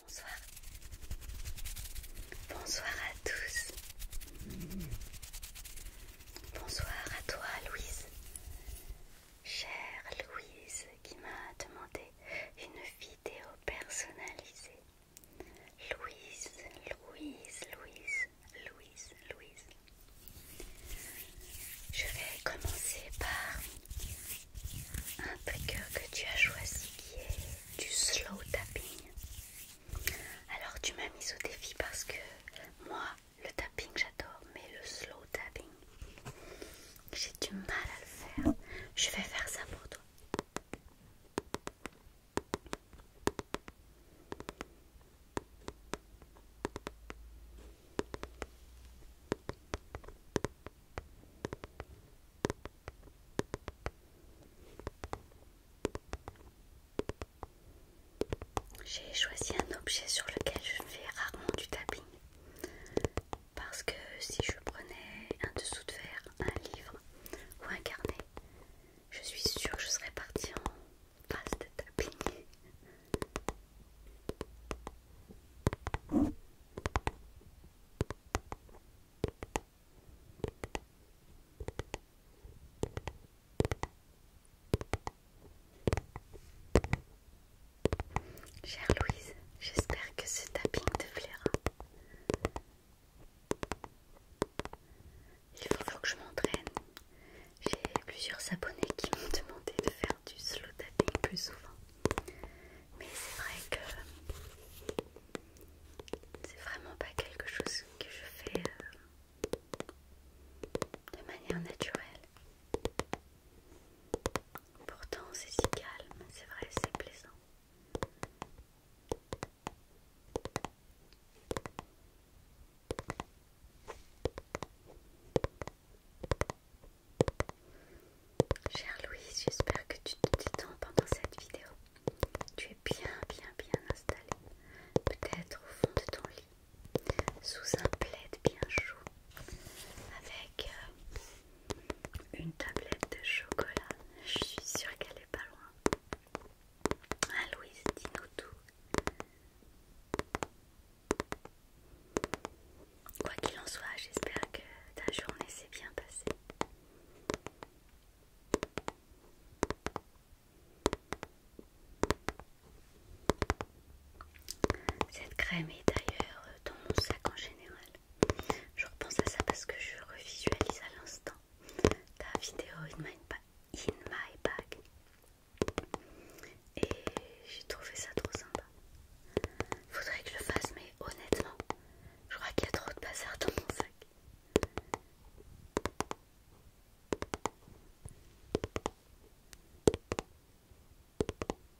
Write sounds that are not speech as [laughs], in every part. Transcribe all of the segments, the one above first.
Bonsoir. Bonsoir à tous. Bonsoir à toi Louise. Chère Louise qui m'a demandé une vidéo personnalisée. Louise, Louise, Louise, Louise, Louise. Je vais commencer par un trigger que tu as choisi qui est du slow tapping. Alors tu m'as mis au défi parce que moi le tapping j'adore mais le slow tapping j'ai du mal à le faire. Je vais faire ça pour toi. J'ai choisi un objet sur lequel je fais rarement du tapping parce que si je prenais un dessous de verre, un livre, ou un carnet. Je suis sûre que je serais partie en phase de tapping. Chère Louise, j'espère que ce tapping te plaira. Il faut que je m'entraîne. J'ai plusieurs abonnés qui m'ont demandé de faire du slow tapping plus souvent. Mais c'est vrai que c'est vraiment pas quelque chose que je fais euh, de manière naturelle. Pourtant c'est si calme, c'est vrai, c'est plaisant. Cher Louis, j'espère que tu te détends pendant cette vidéo. Tu es bien, bien, bien installé, peut-être au fond de ton lit, sous un plaid bien chaud, avec euh, une tablette de chocolat, je suis sûre qu'elle est pas loin. Ah Louise, dis-nous tout. Quoi qu'il en soit, j'espère que ta journée s'est bien passée. Cette crème est d'ailleurs dans mon sac en général. Je repense à ça parce que je revisualise à l'instant ta vidéo in my, bag. Et j'ai trouvé ça trop sympa. Faudrait que je le fasse, mais honnêtement, je crois qu'il y a trop de bazar dans mon sac.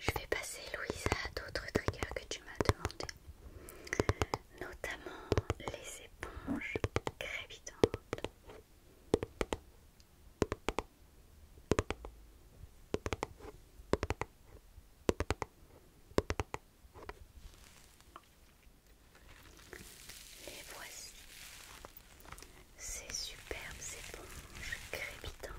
Je vais passer, Louisa, à d'autres triggers que tu m'as demandé, notamment les éponges crépitantes et voici, ces superbes éponges crépitantes.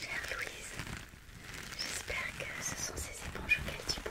Chère Louise, j'espère que ce sont ces éponges auxquelles tu penses.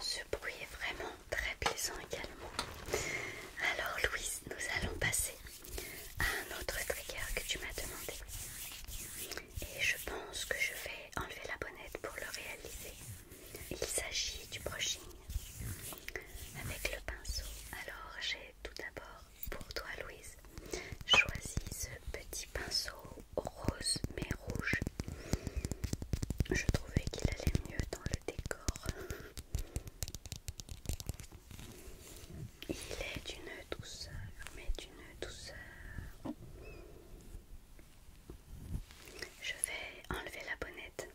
Ce bruit est vraiment très plaisant également. Alors Louise, nous allons passer à un autre trigger que tu m'as demandé. Et je pense que je vais enlever la bonnette pour le réaliser. Il s'agit du brushing avec le pinceau. Alors j'ai tout d'abord pour toi Louise choisi ce petit pinceau rose mais rouge. Je trouvais qu'il allait mieux dans le décor. Il est d'une douceur, mais d'une douceur je vais enlever la bonnette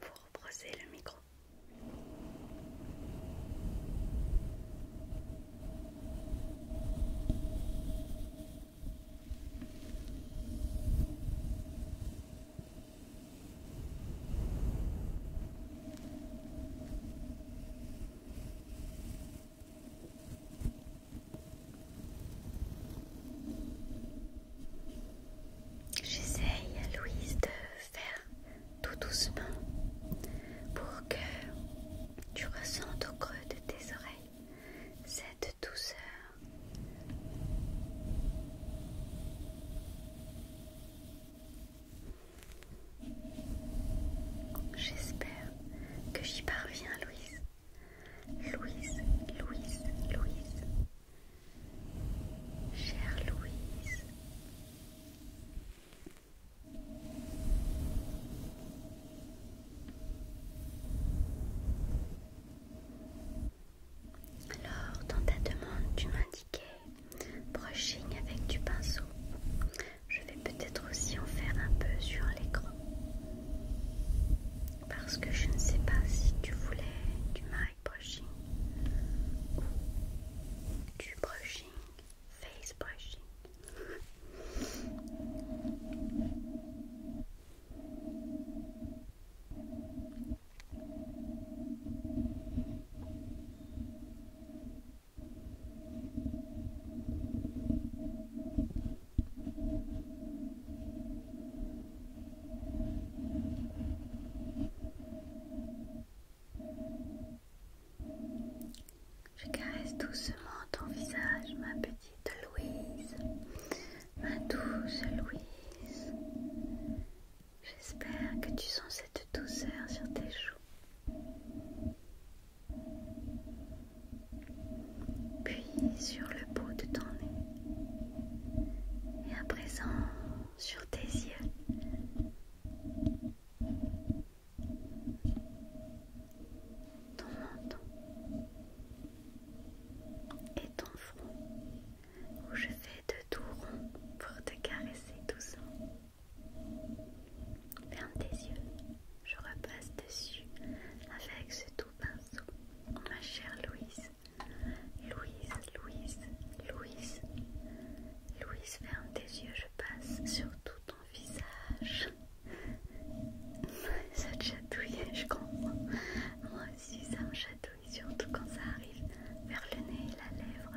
pour brosser le micro. J'essaye, Louise, de faire tout doucement pour que tu ressentes au creux de tes oreilles cette douceur. J'espère que j'y parviens, Louise. Louise, Louise, Louise. Chère Louise. Alors, dans ta demande, tu m'indiquais brushing avec du pinceau. Je vais peut-être aussi en faire un peu sur l'écran parce que je ne sais pas si tu voulais du mic brushing ou du brushing, face brushing. Je caresse doucement ton visage, ma petite Louise, ma douce Louise. J'espère que tu sens cette douceur sur tes joues puis sur le bout de ton nez et à présent sur tes yeux. Ton menton et ton front où je fais de tout rond pour te caresser doucement. Ferme tes yeux, je repasse dessus avec ce pinceau, ma chère Louise. Louise, Louise, Louise. Louise, ferme tes yeux, je passe sur tout ton visage. [laughs] ça te chatouille, je comprends. Moi aussi, ça me chatouille, surtout quand ça arrive vers le nez et la lèvre.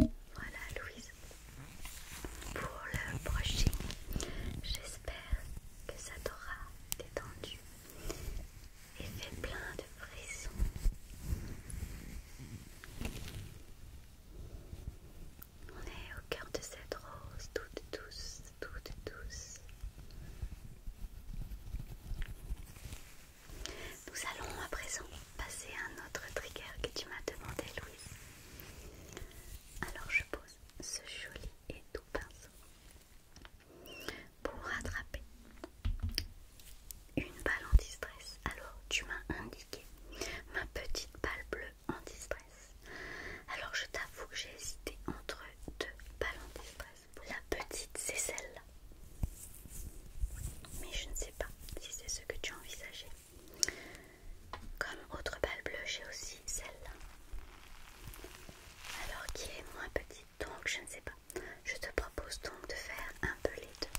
[laughs] voilà, Louise pour le prochain, J'espère que ça t'aura détendu et fait plein de frissons. On est au cœur de cette rose, toute douce, toute douce. Nous allons à présent passer à un autre trigger que tu m'as demandé, Louis. Alors je pose ce joli et doux pinceau pour rattraper une balle anti-stress. Alors tu m'as indiqué ma petite balle bleue en stress Alors je t'avoue que j'ai hésité entre deux balles anti-stress. La petite c'est celle-là. Mais je ne sais pas si c'est ce que tu envisageais. Comme autre balle bleue, j'ai aussi celle-là. Alors qui est moins petite, donc je ne sais pas. Je te propose donc de faire un peu les deux.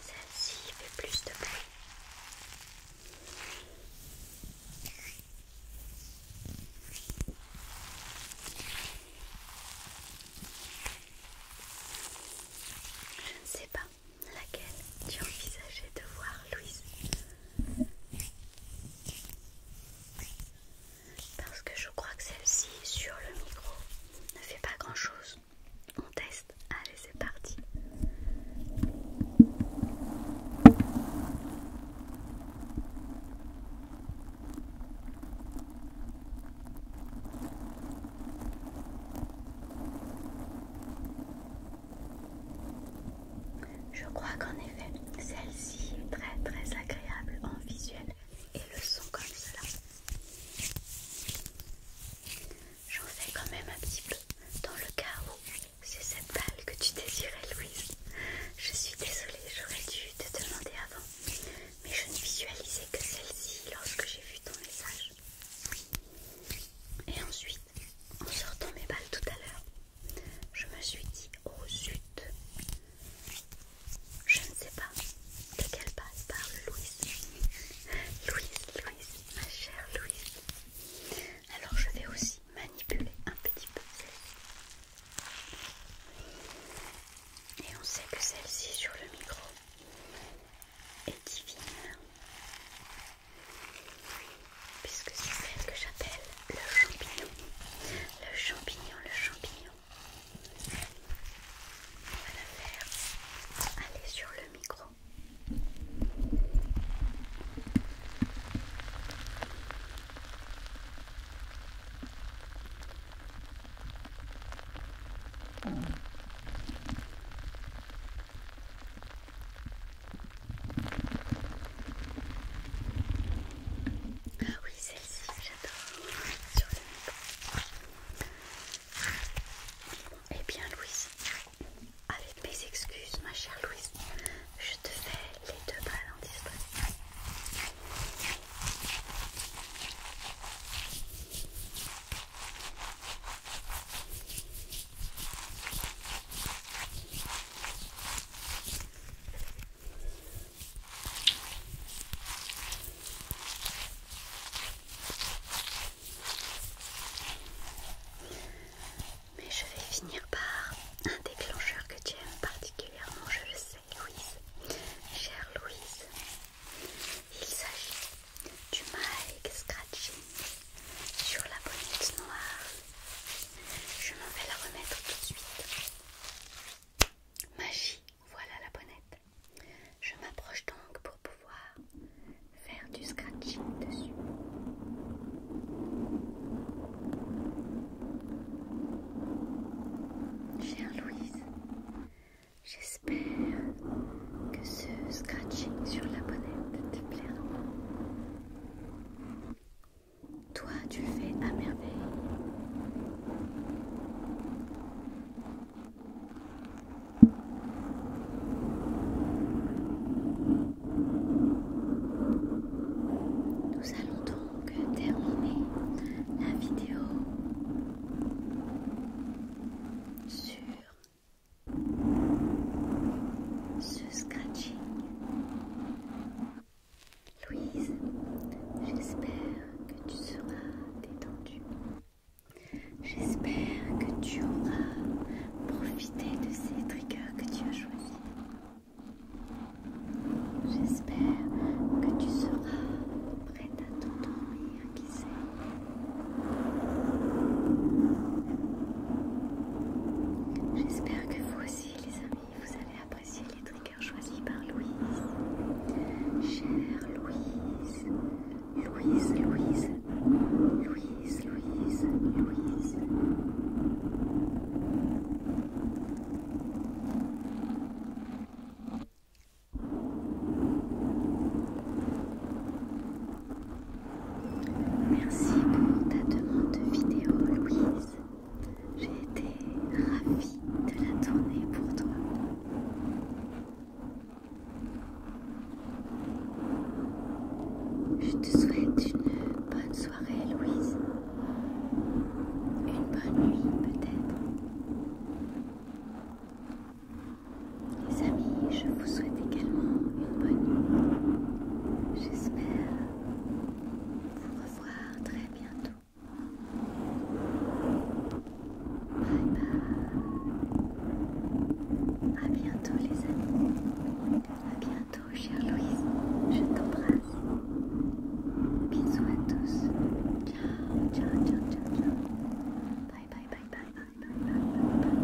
Celle-ci fait plus de bruit. Je ne sais pas laquelle tu envisageais de voir, Louise. Parce que je crois que celle-ci sur le micro ne fait pas grand-chose. On teste. Allez, c'est parti. Je crois qu'en effet, celle-ci est très très agréable en visuel et le son comme cela. J'en fais quand même un petit peu dans le cas où c'est cette balle que tu désirais je suis désolée, j'aurais dû te demander avant, mais je ne visualisais que celle-ci lorsque j'ai vu ton message. Et ensuite, en sortant mes balles tout à l'heure, je me suis dit oh zut, je ne sais pas de quelle base parle Louise. Louise, Louise, ma chère Louise. Alors je vais aussi manipuler un petit peu celle-ci. Et on sait que celle-ci sur le micro est divine, puisque c'est celle que j'appelle le champignon. Le champignon, le champignon. On va la faire aller sur le micro. Ah oui, celle-ci, j'adore. Sur Eh bien, Louise, allez mes excuses, ma chère Louise. Je te fais les deux balles en mais je vais finir par un déclencheur que tu aimes particulièrement, je le sais, Louise. Chère Louise, il s'agit du Mike scratching sur la bonnette noire. Je m'en vais la remettre tout de suite. Magie, voilà la bonnette. Je m'approche donc pour pouvoir faire du scratching dessus. Chère Louise, j'espère que ce scratching sur la bonnette te plaira. Toi, tu fais à merveille. Nous allons donc terminer la vidéo sur ce scratching. Louise, j'espère que tu seras détendue. J'espère que tu auras profiter de ces triggers que tu as choisis. J'espère que tu seras prêt à t'endormir, qui sait. J'espère que vous aussi, les amis, vous allez apprécier les triggers choisis par Louise. Chère Louise, Louise, Louise, Louise. Louise, Louise, Merci pour ta demande vidéo, Louise. J'ai été ravie de la tourner pour toi. Je te souhaite une bonne soirée, Louise. Une bonne nuit, peut-être. Les amis, je vous souhaite également une bonne nuit. J'espère vous revoir très bientôt. Bye bye. A bientôt les amis. A bientôt chère Louise. Je t'embrasse. Bisous à tous. Ciao, ciao, ciao, ciao, ciao. Bye, bye, bye, bye, bye, bye, bye, bye. bye.